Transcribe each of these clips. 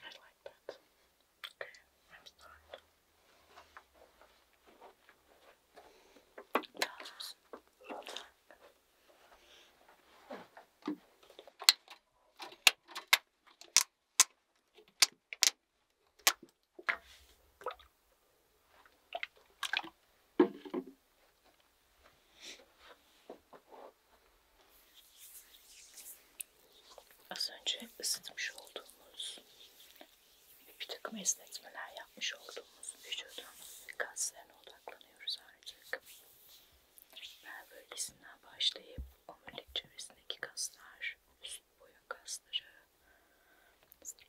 I like that. Okay, I'm starting. That's Az önce ısıtmış olduğumuz bir takım esnetmeler yapmış olduğumuz vücudumuzun kaslarına odaklanıyoruz artık. Ben bölgesinden başlayıp omurilik çevresindeki kaslar, üst boyun kasları, kaslar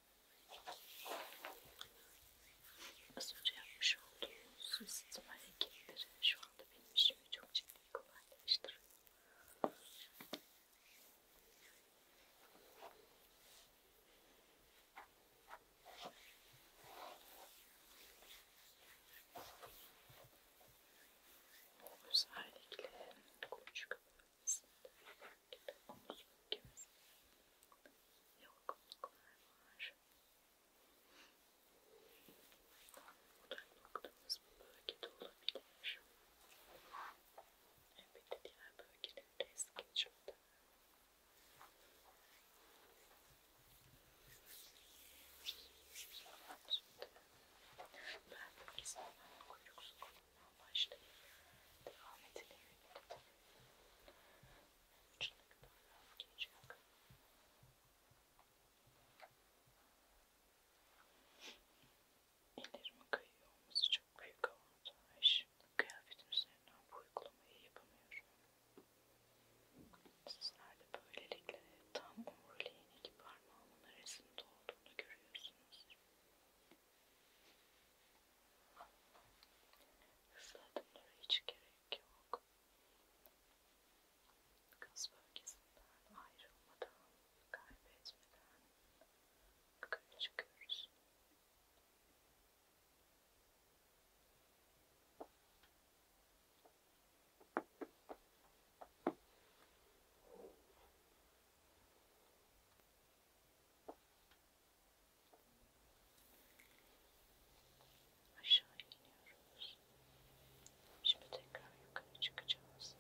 Az önce yapmış olduğunuz ısıtma hareketleri şu anda benim işimi çok ciddi kolaylaştırıyor. Özellikle konuşkalarımızda şekilde omuz bölgemizde yorgunluklar var. Odak noktamız bu bölgede olabilir. Elbette diğer bölgeleri de es geçiyorlar. Şimdi ben bölgesel kuyruk sokulundan başlayıp devam edelim uçlarından rahatlayacak. Ellerimi kayıyor olması çok büyük avantaj. Kıyafetim üzerinden bu uygulamayı yapamıyorum. Sizler de böylelikle tam omuriliğin iki parmağımın arasında olduğunu görüyorsunuz. Hızlı adımlara hiç gerek yok. Kas bölgesinden ayrılmadan, kaybetmeden yukarı çıkıyoruz. Şimdi Aşağı iniyoruz. Şimdi tekrar yukarı çıkacağız.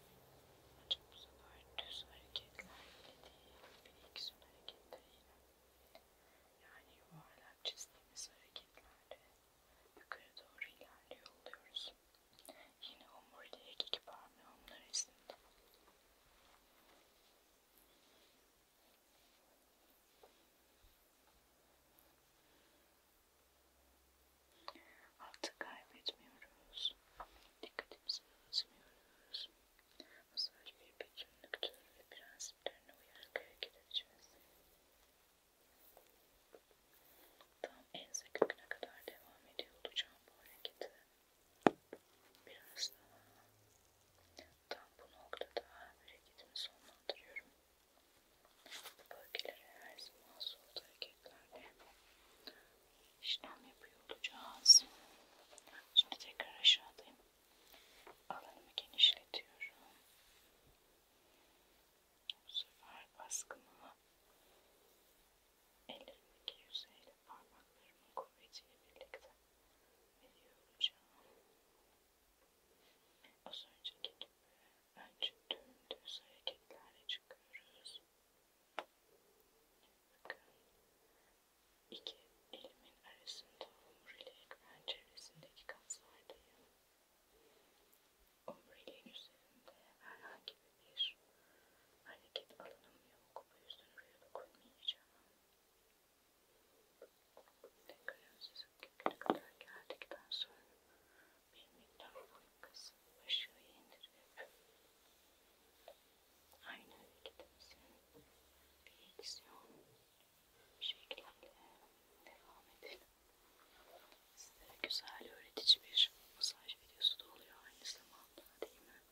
Ancak bu sefer düz hareketlerle değil, bilgisayar hareketleriyle. Yani yuvarlak çizdiğimiz hareketlerle yukarı doğru ilerliyor oluyoruz. Yine omuriliğe iki parmağımla resimde. Artık kaybetmiyoruz. Dikkatimizi bozmuyoruz. Masaj bir bütünlüktür ve prensiplerine uyarak hareket edeceğiz. Tam ense köküne kadar devam ediyor olacağım bu hareketi. Biraz daha tam bu noktada hareketimi sonlandırıyorum. Bu bölgelere her zaman soğut hareketlerle işlem yapıyor olacağız. Şimdi tekrar aşağıdayım. Alanımı genişletiyorum. Bu sefer baskımı Ellerimdeki yüzeyle parmaklarımın kuvvetiyle birlikte veriyor Az önceki gibi önce tüm düz hareketlerle çıkıyoruz. Bakın iki elimin arasında omurilik ben çevresindeki kaslardayım. Omuriliğin üzerinde herhangi gibi bir hareket alanım yok. O yüzden oraya da koymayacağım. Tekrar sizin köküne kadar geldikten sonra bir miktar boyun kasıp aşağıya indirip aynı hareketimizin bir eksiyon şekliyle devam edelim. Size güzel öğretici bir masaj videosu da oluyor aynı zamanda değil mi?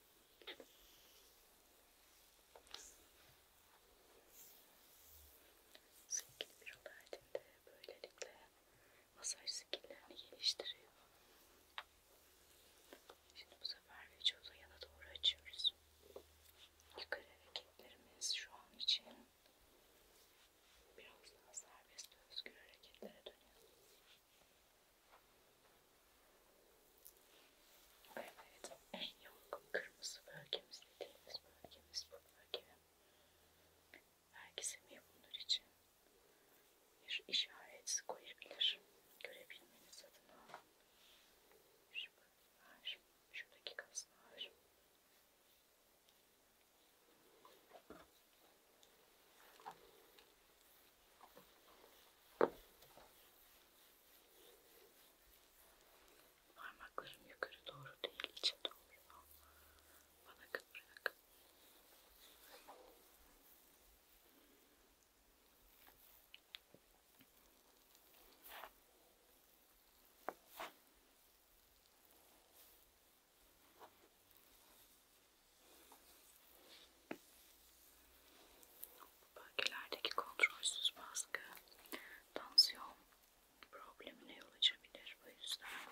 Sevgili bir Robert'in de böylelikle masaj skillerini geliştiriyor. Şimdi bu sefer vücudu yana doğru açıyoruz. Yukarı hareketlerimiz şu an için biraz daha serbest özgür hareketlere dönüyor. Evet, en yoğun kırmızı bölgemiz dediğimiz bölgemiz bu bölge. Belki Semih bunlar için bir işaret koyabilir. Görebilmeniz adına. Şu bölgeler, şuradaki kaslar. Parmaklarım yukarı doğru değil, içe doğru. Bana kıvrak. Parmaklarımı bu bölgelerdeki kontrolsüz baskı tansiyon problemine yol açabilir. Bu yüzden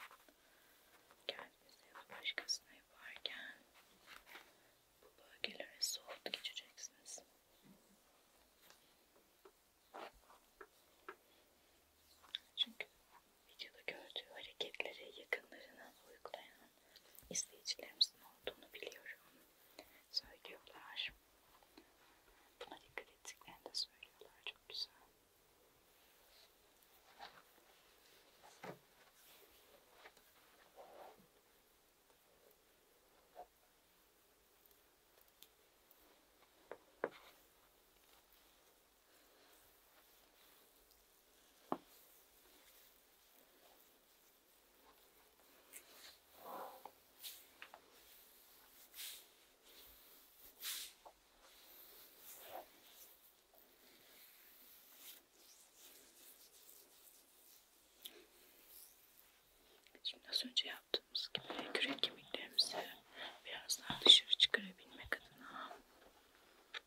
kendinize ya da başkasına yaparken bu bölgelere soğuk geçeceksiniz. Çünkü videoda gördüğü hareketleri yakınlarına uygulayan izleyicilerimizin olduğunu biliyorum. Söylüyorlar. Buna dikkat ettiklerini de söylüyorlar. Çok güzel. Şimdi az önce yaptığımız gibi kürek kemiklerimizi biraz daha dışarı çıkarabilmek adına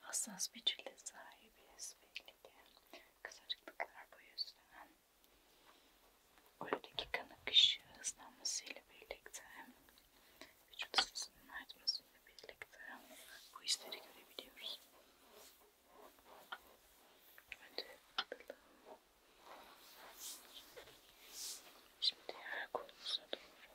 Hassas bir cilde sahibiz belli ki. Kısacıklıklar bu yüzden Oradaki kan akışı hızlanmasıyla birlikte vücut ısısının artmasıyla birlikte bu hisleri görebiliyoruz. Önce atalım. Şimdi diğer kolumuza doğru.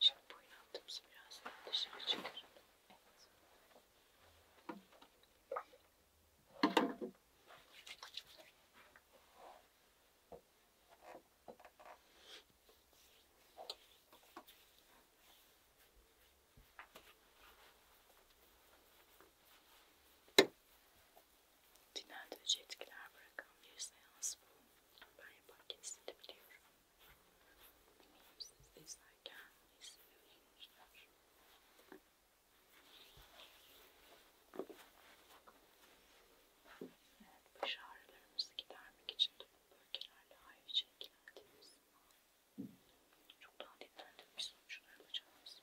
Şimdi bu inandımızı biraz daha dışarı çıkaralım. Evet. Dinlendirici etkiler bırakan bir seans bu. Ben yaparken hissedebiliyorum. Eminim siz de izlerken hissini öğrenmişler. Evet, baş ağrılarımızı gidermek için de bu bölgelerle ayrıca ilgilendiğimiz zaman çok daha dinlendirilmiş sonuçlar alacağız.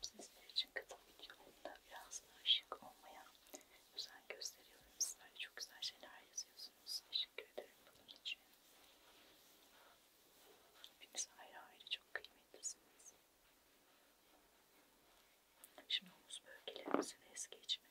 Sizler için katılım videolarında biraz daha şık olmaya özen gösteriyorum. Sizler çok güzel şeyler yazıyorsunuz. Teşekkür ederim bunun için. Hepiniz ayrı ayrı çok kıymetlisiniz. Şimdi omuz bölgelerimizi de es geçmeden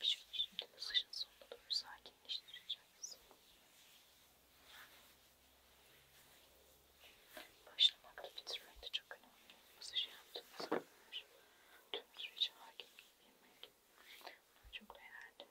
Şöyle şimdi masajın sonuna doğru sakinleştireceğiz. Başlamak da bitirmek de çok önemli. Masajı yaptığımız kadar tüm süreci hakim bilmek. Çok değerli.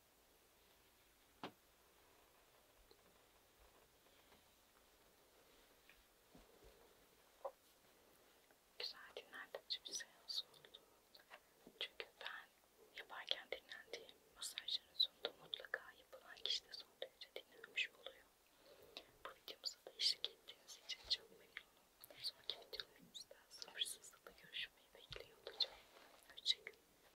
Güzel dinlendirici bir seans şey oldu. Çünkü ben yaparken dinlendiğim masajların sonunda mutlaka yapılan kişi de son derece dinlenmiş oluyor. Bu videomuza da eşlik ettiğiniz için çok memnunum. Sonraki videolarımızda sabırsızlıkla görüşmeyi bekliyor olacağım. Hoşçakalın.